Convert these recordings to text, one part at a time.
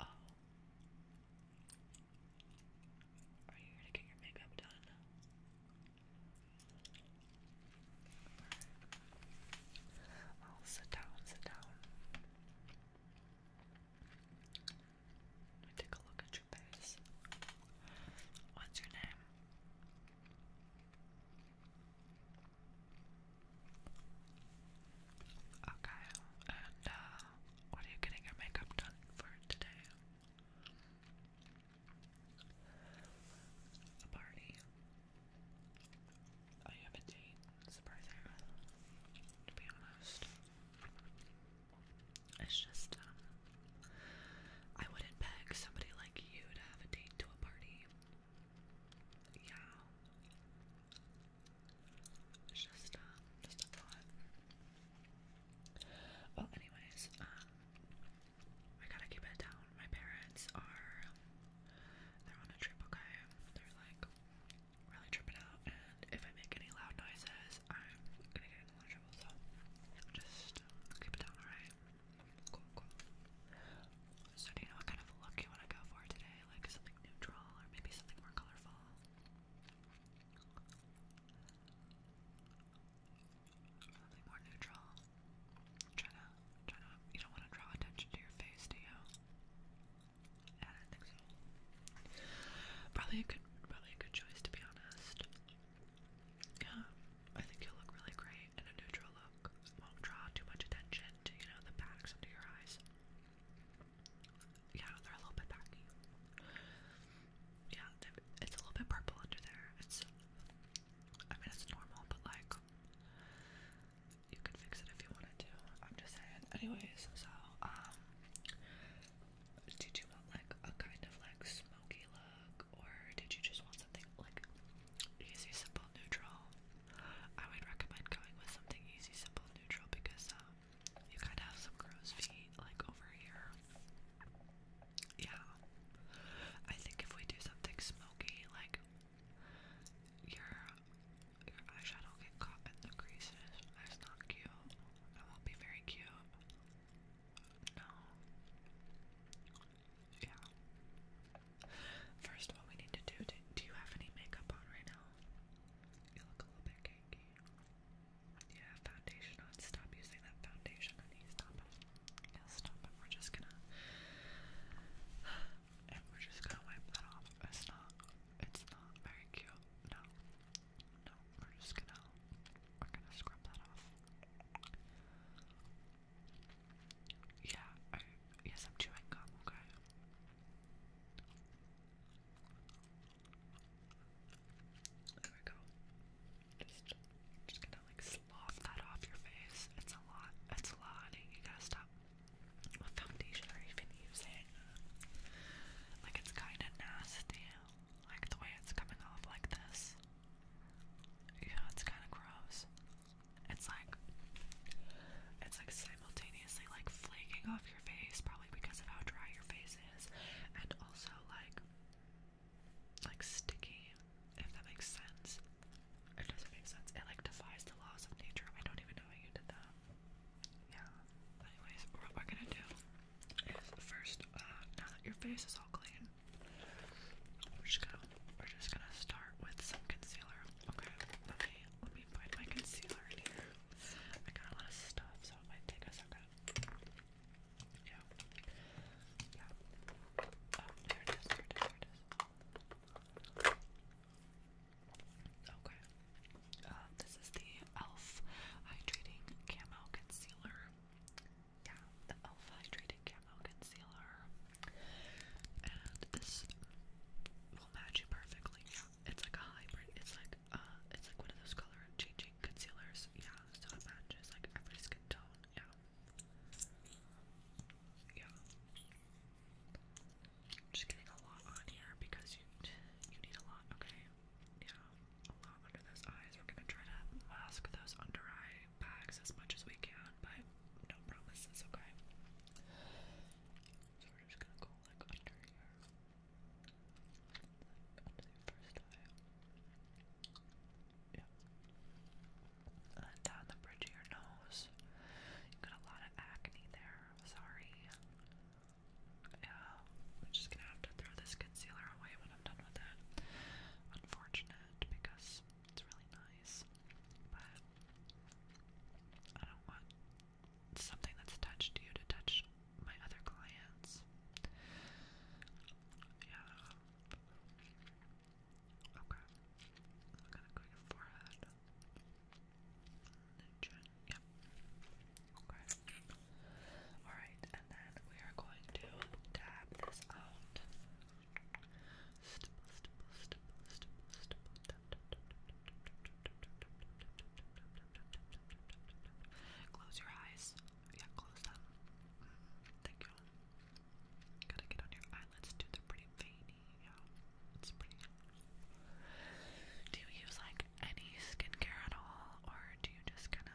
Oh. Are you gonna get your makeup done? I'll sit down, sit down. Let me take a look at your face. What's your name? Okay, and uh, what are you getting your makeup done for today? A party. Oh, you have a date, surprising, to be honest. It's just, um, I wouldn't beg somebody like you to have a date to a party. Yeah. It's just, uh, just a thought. Well, anyways, um, I gotta keep it down. My parents are, they're on a trip, okay? They're like really tripping out, and if I make any loud noises, I'm gonna get in trouble, so just uh, keep it down, alright? So do you know what kind of look you want to go for today? Like something neutral or maybe something more colorful? Something more neutral. Try to, try to, you don't want to draw attention to your face, do you? Yeah, I do think so. Probably a good, probably a good choice to be honest. Yeah, I think you'll look really great in a neutral look. Won't draw too much attention to, you know, the bags under your eyes. Yeah, they're a little bit baggy. Yeah, it's a little bit purple under there. It's, I mean, it's normal, but like, you could fix it if you wanted to. I'm just saying. Anyways, so, um, did you want like a kind of like smoky look? or did you just want something like easy, simple, neutral? I would recommend going with something easy, simple, neutral because um, you kind of have some crow's feet like over here. Yeah, I think if we do something smoky, like your your eyeshadow will get caught in the creases. That's not cute. That won't be very cute. No yeah. First, what we need to do, do, you have any makeup on right now? You look a little bit cakey. Yeah, foundation on. Stop using that foundation, honey. Stop it. stop it. We're just gonna. And we're just gonna wipe that off. It's not. It's not very cute. No. No. We're just gonna. We're gonna scrub that off. Yeah, yes, I'm chewing gum, okay. There we go. Just, just gonna like slough that off your face. It's a lot. It's a lot. You gotta stop. What foundation are you even using? Like it's kind of nasty. Like the way it's coming off like this. Yeah, it's kind of gross. It's like, it's like simultaneously like flaking off your face, probably because of how dry your face is, and also like, like sticky, if that makes sense. It doesn't make sense. It like defies the laws of nature. I don't even know how you did that. Yeah. Anyways, what we're gonna do is first, uh, now that your face is all clean, we're just gonna we're just gonna start with some concealer. Okay, let me let me find my concealer here. I got a lot of stuff, so it might take a second. Yeah. Oh, there it is, there it is, there it is. Okay. Uh, this is the e.l.f. Hydrating Camo Concealer yeah, the e.l.f. Hydrated Camo Concealer. And this will match you perfectly. Yeah, it's like a hybrid. It's like uh, it's like one of those color changing concealers. Yeah, so it matches like every skin tone. Yeah, yeah. I'm just getting a lot on here because you you need a lot. Okay, yeah a lot under those eyes. We're gonna try to mask those under eye bags as much as we can, but no promises, okay? So we're just gonna go like under here, under your first eye. Yeah. Uh, down the bridge of your nose. You got a lot of acne there. Sorry. Yeah. I'm just gonna have to throw this concealer away I'm done with it. Unfortunate because it's really nice, but I don't want something that's touched you to touch my other clients. Yeah. Okay. I'm gonna go your forehead. The chin. Yep. Okay. Alright, and then we are going to dab this out. Close your eyes. Yeah, close them. Mm-hmm. Thank you. Gotta get on your eyelids too, they're pretty veiny, yeah. It's pretty do you use like any skincare at all, or do you just kind of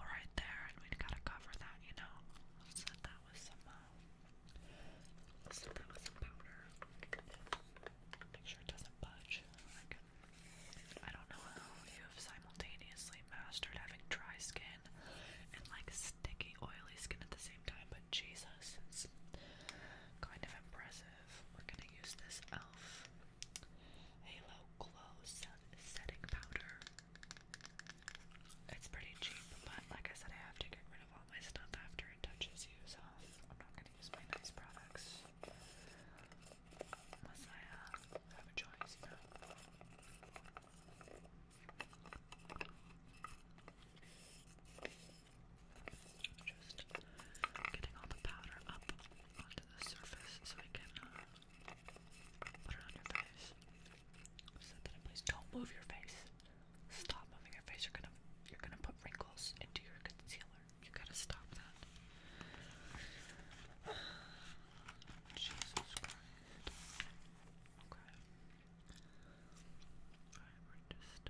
right there, and we gotta cover that, you know. set that with some, uh, set that with some powder. Make sure it doesn't budge. I don't know how you have simultaneously mastered having dry skin and like sticky, oily skin at the same time, but Jesus, it's kind of impressive. We're gonna use this e.l.f. Halo Glow setting powder. It's pretty cheap, but like I said, I have to get rid of all my stuff after it touches you, so I'm not gonna use my nice products unless I uh, have a choice. Just getting all the powder up onto the surface so I can uh, Put it on your face. please. Don't move your face. Stop moving your face. You're gonna you're gonna put wrinkles into your concealer. You gotta stop that. Jesus Christ. Okay. Alright, we're just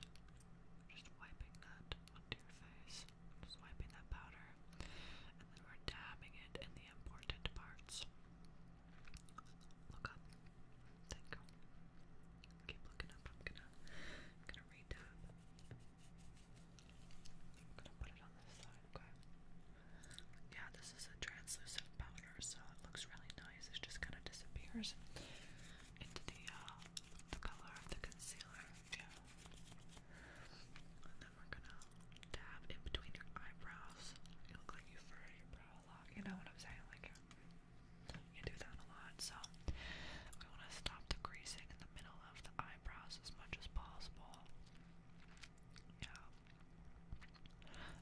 just wiping that onto your face. Just wiping that powder, and then we're dabbing it in the important parts. Look up. Thank Keep looking up. I'm gonna, gonna re-dab. I'm gonna put it on this side, okay? Yeah, this is a translucent powder, so it looks really nice. It just kind of disappears into uh, the color of the concealer. Yeah. And then we're gonna dab in between your eyebrows. You look like you furrow your brow a lot. You know what I'm saying? Like you do that a lot. So we want to stop the greasing in the middle of the eyebrows as much as possible. Yeah.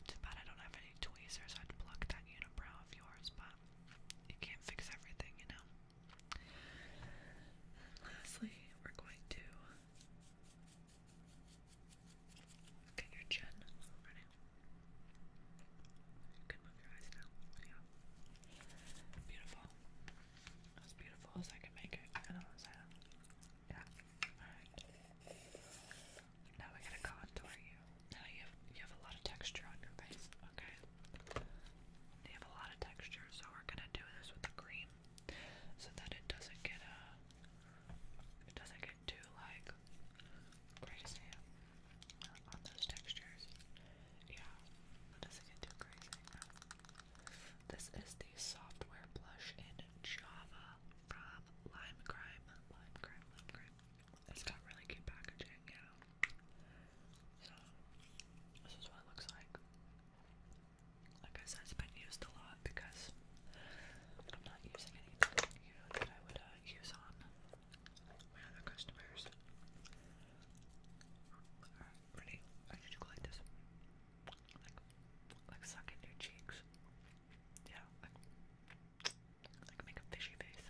Too bad I don't have any tweezers. I'd pluck that unibrow of yours, but you can't fix everything, you know. lastly, we're going to Look at your chin You can move your eyes now. Beautiful. As beautiful as I can make it. Yeah. Alright. Now we gotta contour you. Now you have you have a lot of texture on your face, okay? You have a lot of texture, so we're gonna do this with the cream so that it doesn't get uh it doesn't get too like crazy on those textures. Yeah, it doesn't get too crazy. This is the software blush in Java from Lime Crime. Lime Crime, Lime Crime. It's got really cute packaging, yeah. So this is what it looks like like I said, it's been used a lot because I'm not using anything, you know, that I would uh, use on my other customers. Alright, ready? I need to go like this. Like, like suck in your cheeks. Yeah, like, like make a fishy face.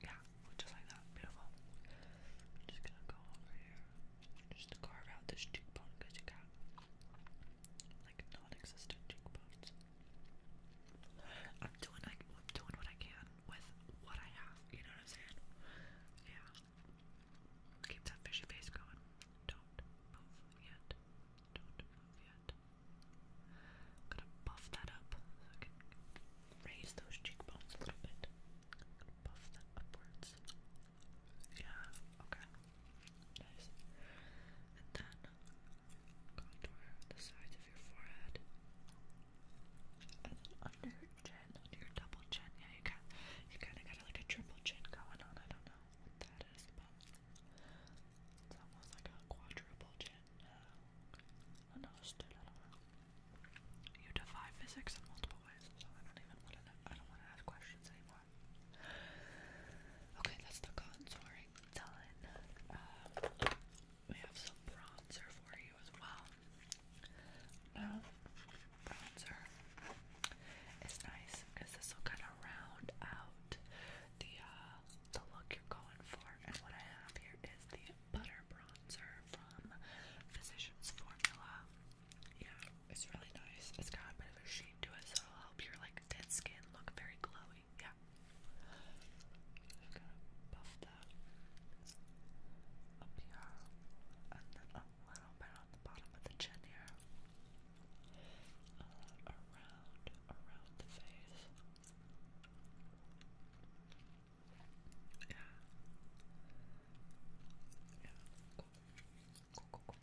Yeah, just like that. Beautiful. I'm just gonna go over here. Just to carve out this cheekbone because you got like non-existent cheekbones. I'm doing like doing what I can with what I have. You know what I'm saying? Yeah. Keep that fishy face going. Don't move yet. Don't move yet. gonna buff that up raise those cheekbones a little bit. buff that upwards. Yeah, okay. Nice. And then contour the sides of your forehead. And then under your chin, under your double chin. Yeah, you got you kinda got like a triple chin going on. I don't know what that is, but it's almost like a quadruple chin. I know. You defy physics in multiple ways, so I don't even want to. I don't want to ask questions anymore. Okay, that's the contouring done. Um, we have some bronzer for you as well. bronzer is nice because this will kind of round out the uh, the look you're going for. And what I have here is the butter bronzer from Physicians Formula. Yeah, it's really nice. It's got a bit of a sheen to it, so it'll help your like dead skin look very glowy. Yeah. gonna buff that up here, and then a little bit on the bottom of the chin here, uh, around around the face. Yeah. Yeah. Cool. Cool, cool,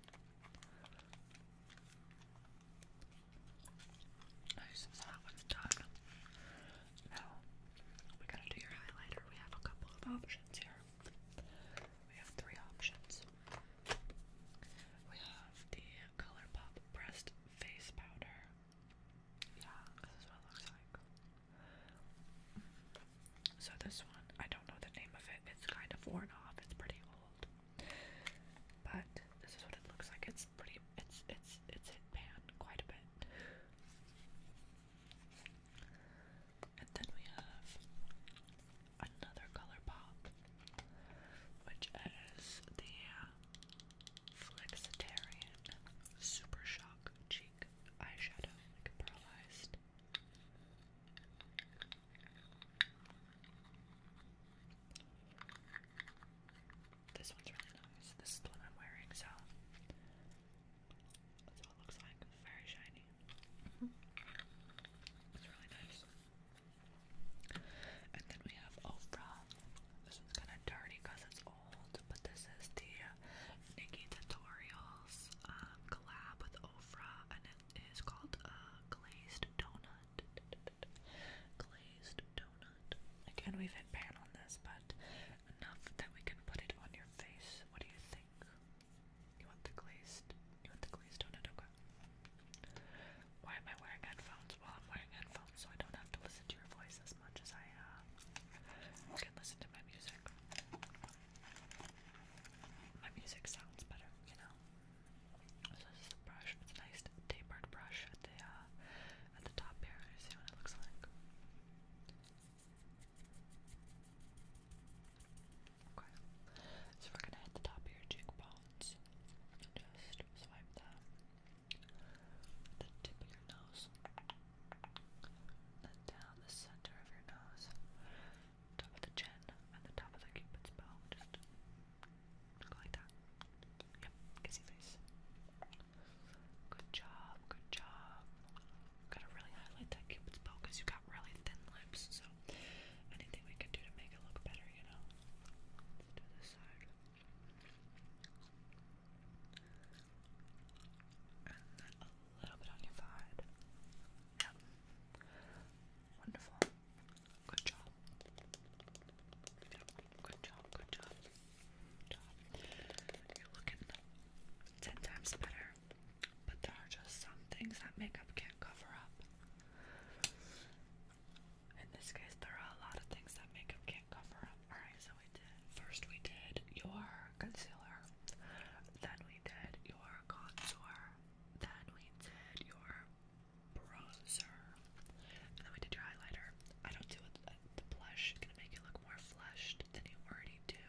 Nice, oh, so that one's done. Now, we gotta do your highlighter. We have a couple of options here. We have three options. We have the ColourPop Pressed Face Powder. Yeah, this is what it looks like. So this one, I don't know the name of it. It's kind of worn off. It's pretty old. But this is what it looks like. It's pretty it's it's it's hit pan quite a bit. And then we have another color which is the Flexitarian Super Shock G eyeshadow, like pearlized. This one's really nice. This is the one I'm wearing, so that's what it looks like. Very shiny. Mm-hmm. It's really nice. And then we have Ofra. This one's kind of dirty because it's but this is the Nikki Tutorials um, collab with Ofra, and it is called uh, glazed donut. glazed donut. Again, we've hit pan on this, but enough that we can put it on your face. What do you think? You want the glazed? You want the glazed donut? Okay. Why am I wearing headphones? Well, I'm wearing headphones so I don't have to listen to your voices as much as I can listen to my music. My music sounds better, you know. So this is the brush. It's a nice tapered brush at the uh, at the top here. see what it looks like. so we're gonna hit the top of your cheekbones. Just swipe them. The tip of your nose then down the center of your nose, top of the chin, and the top of the cupid's bow. Just like that. Yep, kissy face. Good job, good job. Gotta really highlight that cupid's bow you got really thin lips, so anything we can do to make it look better, you know. do this side a little bit on your forehead. Wonderful. Good job. Good job, good job. Good job. You're looking ten times better. But there are just some things that makeup can't cover up. In this case, there are a lot of things that makeup can't cover them. Alright, so we did. First, we did your concealer. Then, we did your contour. Then, we did your bronzer. And then, we did your highlighter. I don't do uh, the blush gonna make you look more flushed than you already do.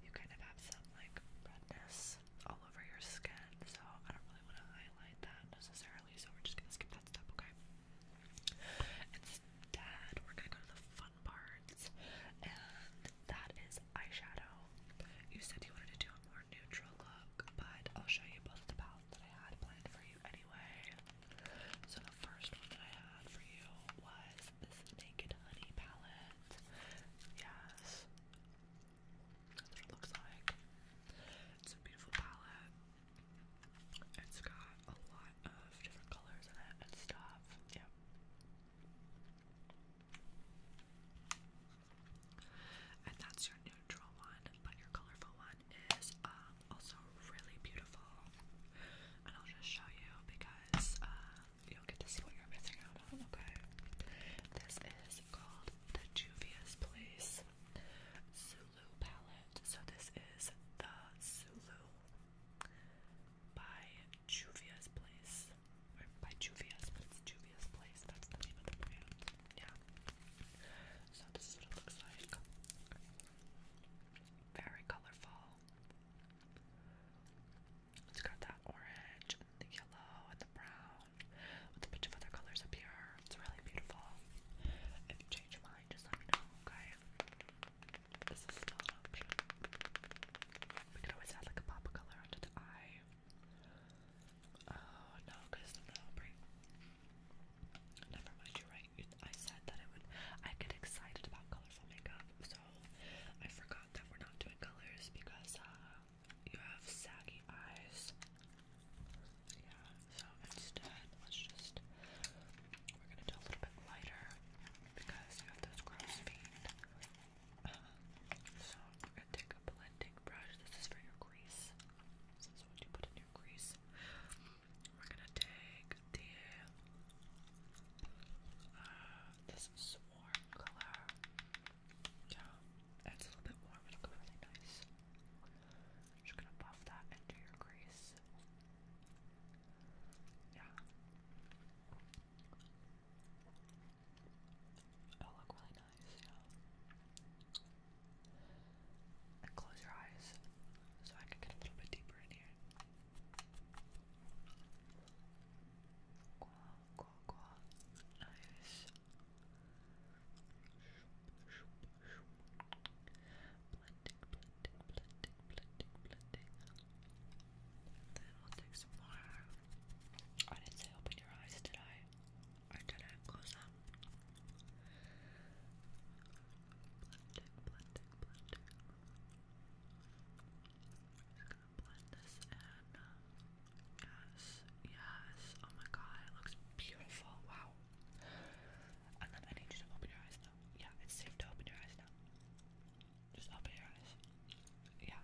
You kind of have some like redness all over your skin, so I don't really want to highlight that necessarily, so we're just gonna skip that step, okay? Instead, we're gonna go to the fun parts, and that is eyeshadow. You said you wanted to do a more neutral look, but I'll show you both the palettes that I had planned for you anyway. So the first one that I had for you was this Naked Honey palette. Yes. That's what it looks like. It's a beautiful palette. It's got a lot of different colors in it and stuff. Yep. And that's your neutral one, but your colorful one is um, also really beautiful. And I'll just show you because um, you'll get to see what you're missing out on. Okay. This is called the Juvia's Place Zulu palette. So this is the Zulu by Juvia's Place. Or by Juvia's, but it's Juvia's Place. That's the name of the brand. Yeah. So this is what it looks like. Very colorful. It's got that orange the yellow and the brown with a bunch of other colors up It's really beautiful. If you change your mind, just let me know, okay? This is still an option. We could always add like a pop of color onto the eye. Oh no, because then that'll Never mind, you're right. I said that I would. I get excited about colorful makeup, so I forgot that we're not doing colors because uh, you have saggy eyes. Yeah, instead, let's just we're gonna do a little bit lighter because you have those gross um, so we're gonna take a blending brush. This is for your grease. This is what you put in your grease. We're gonna take the uh, this warm color. Yeah, it's a little bit warm. it really nice. just gonna buff that into your grease. Yeah. It'll look really nice, yeah. close your eyes so I can get a little bit deeper in here. Cool, cool, cool. Nice. Shoop, shoop, shoop. Then we'll take some more. I didn't say open your eyes, did I? Or did I close them? just gonna blend this in. Yes, yes. Oh my god, it looks beautiful. Wow. And then I need you to open your eyes now yeah, it's safe to open your eyes now. Just open your eyes. Yeah.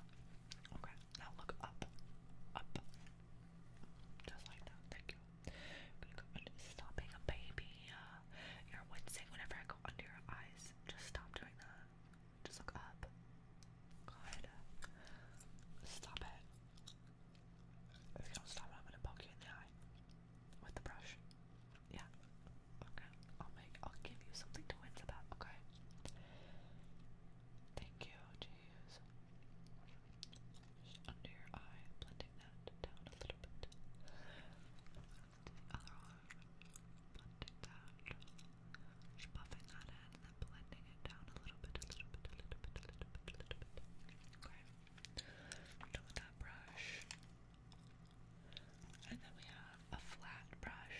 Okay. Now look up. Up. Just like that. Thank you. stop being a baby. Uh, you're wincing whenever I go under your eyes. Just stop doing that. Just look up. Stop it. If you don't stop I'm gonna poke you in the eye with the brush. Yeah. Okay. I'll make. I'll give you something to wince about. Okay. Thank you. under your eye, blending that down a little bit. The other arm, blending that. Just buffing that in, and then blending it down a little bit, a little bit, a little bit, a little bit, a little bit. Okay with that brush. And then we have a flat brush,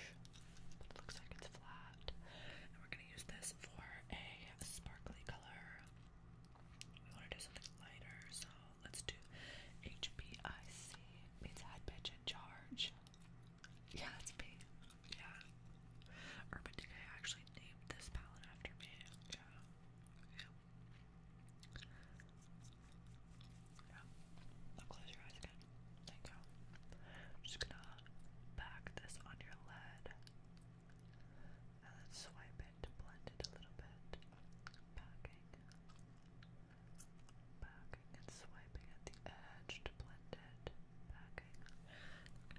looks like it's flat. And we're gonna use this for a sparkly color. We want to do something lighter, so let's do HBIC. Means head in charge. Yeah, it's me. Yeah. Urban Decay actually named this palette after me. Yeah. Yeah. close your eyes again. There you go. just gonna pack this on your lid. And then swipe it to blend it a little bit. Packing. Packing and swiping at the edge to blend it. Packing.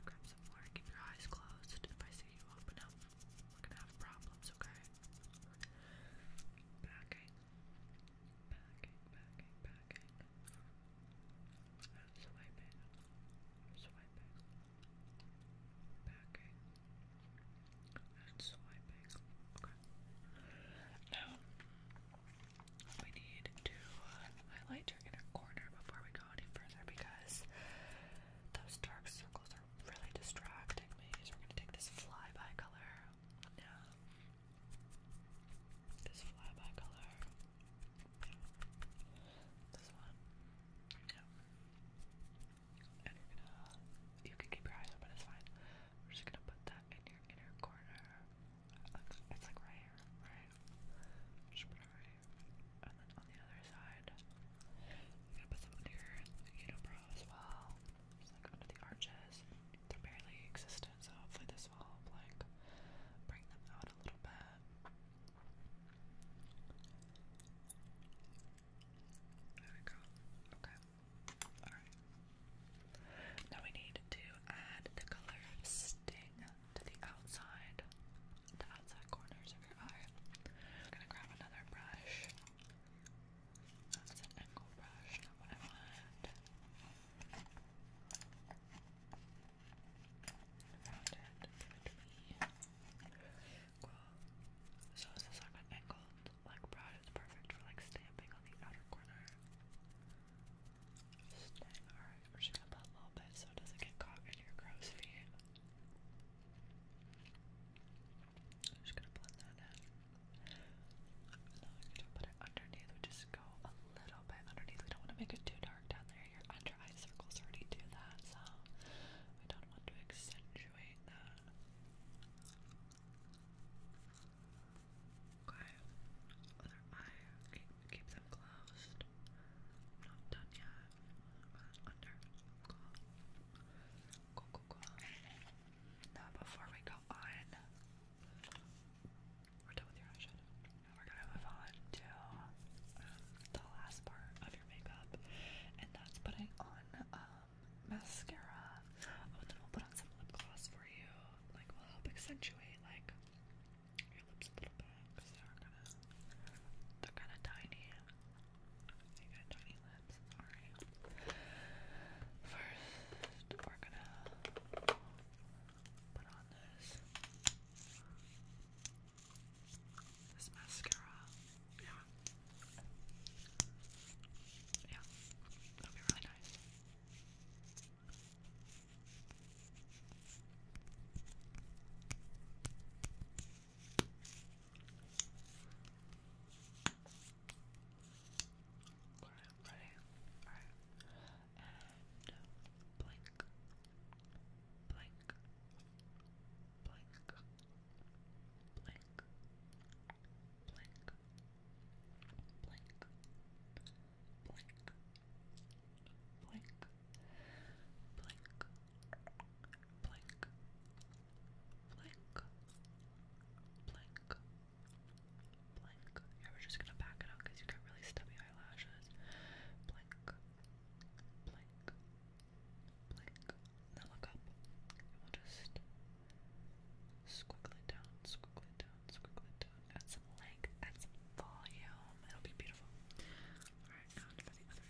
grab some more. Keep your eyes closed if I see you open up. We're gonna have problems, okay? Backing. Backing, backing, backing. And swiping. Swiping. Backing. And we need to uh, highlight your inner corner before we go any further because those dark circles really distracting me, we're gonna take this flyby color. Yeah. This flyby color. This one. Yeah. And you're gonna you can keep your eyes open, it's fine. We're just gonna put that in your inner corner. It's like right here, right? Just put it right here and then on the other side, I'm gonna put some under your unibrow as well, just like under the arches. They're barely existent, so hopefully this will help, like bring them out a little bit. There we go. Okay. All right. Now we need to add the color sting to the outside the outside corners of your eye. I'm gonna grab another brush. That's an angle brush, not what I want. So this is like an angled like brush. It's perfect for like stamping the outer corner. Just dang, alright, a little bit so it doesn't get caught in your crow's feet. I'm just gonna blend that in. And we're gonna put it underneath. We just go a little bit underneath. We don't want to make it too dark down there. Your under eye circles already do that, so we don't want to accentuate that. Okay. Other eye. Keep, them closed. not done yet. Now before we go on, we're done with your eyeshadow. Now we're gonna move on to um, the last part of your makeup, and that's putting on um, mascara. Oh, and then we'll put on some lip gloss for you. Like, will help accentuate like your lips a little bit they're kind of tiny. I got First, we're gonna put on this this mascara. Yeah. That'll be really nice. Alright, ready? Alright. And blink. Blink. Blink. Blink. Blink. Blink. Blink. Blink blink, blink, blink, blink, blink. Yeah, we're just gonna back it up you got really stubby eyelashes. Blink, blink, blink. Now look up, we'll just squiggle it down, squiggle it down, squiggle it down. Add some length, add some volume. It'll be beautiful. All right, now for the other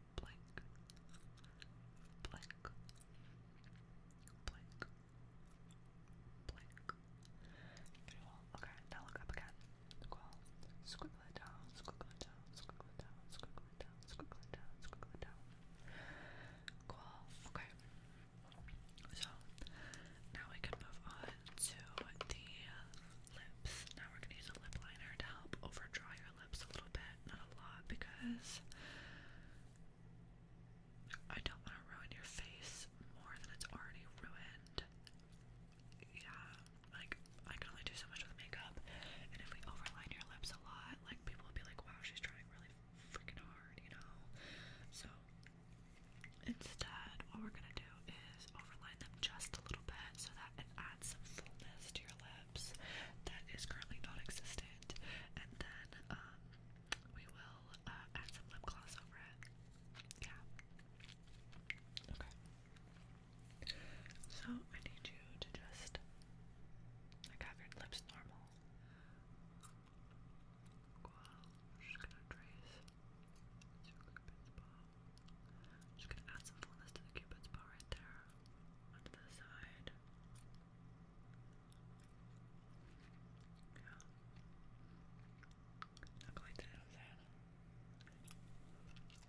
blank, blank, blank, blank. Cool. Okay, now look up again. Cool. Squiggle it down, squiggle it down, squiggle it down, squiggle it down, squiggle it down, squiggle it down. Cool. Okay. So now we can move on to the lips. Now we're gonna use a lip liner to help overdraw your lips a little bit not a lot because I don't want to ruin your face more than it's already ruined. Yeah, like I can only do so much with makeup, and if we overline your lips a lot, like people will be like, "Wow, she's trying really freaking hard," you know. So instead, what we're gonna do is overline them just a little bit so and add some fullness to your lips that is currently non existent. And then um, we will uh, add some lip gloss over it. Yeah. Okay. So I need you to just like have your lips normal. just gonna trace. just gonna add some fullness to the cupid's bow right there onto the side. Yeah. Not quite there, was that?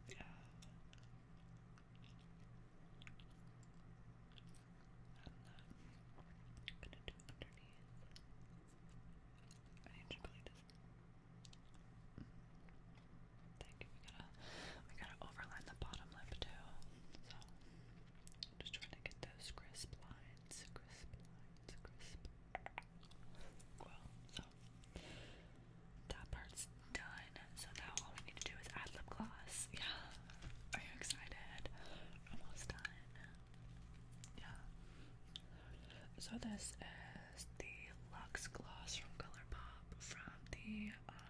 Yeah. And then I'm gonna do underneath. I need to clean this we gotta we gotta overline the bottom lip too. So just trying to get those crisp lines, crisp lines, crisp. Well, so that part's done. So now all I need to do is add lip gloss. Yeah. Are you excited? Almost done. Yeah. So this is the Lux Gloss from ColourPop from the um,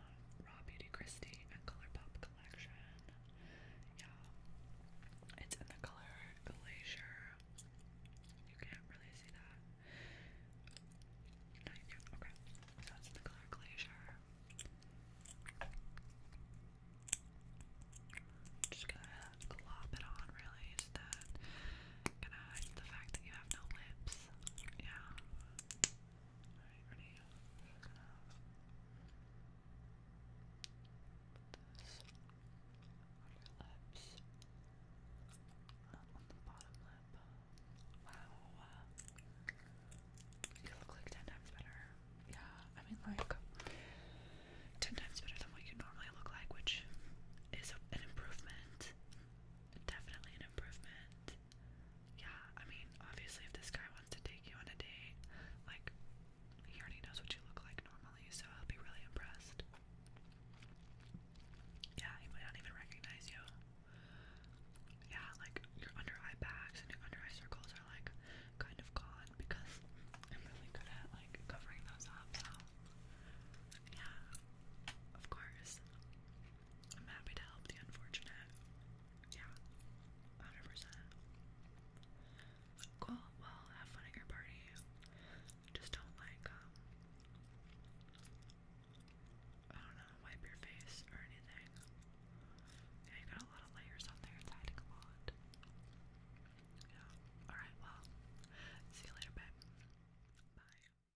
Raw Beauty Christie and Colourpop collection. Yeah, it's in the color Glacier. You can't really see that. No, you can Okay, so it's in the color Glacier. Just gonna glop it on, really, instead. Gonna hide the fact that you have no lips. Yeah. Alright, Wow. You look like ten times better. Yeah, I mean like ten times better than what you normally look like, which is an improvement. Definitely an improvement yeah, I mean, obviously, if this guy wants to take you on a date, like, he already knows what you look like normally, so he'll be really impressed. Yeah, he might not even recognize you. Yeah, like, your under eye bags and your under eye circles are, like, kind of gone because I'm really good at, like, covering those up, so. Yeah, of course. I'm happy to help the unfortunate. Yeah, 100%. Cool, well, have fun at your party. Just don't, like, um, I don't know, wipe your face or anything. Yeah, you got a lot of layers on there, it's hiding a lot. Yeah, alright, well, see you later, babe. Bye.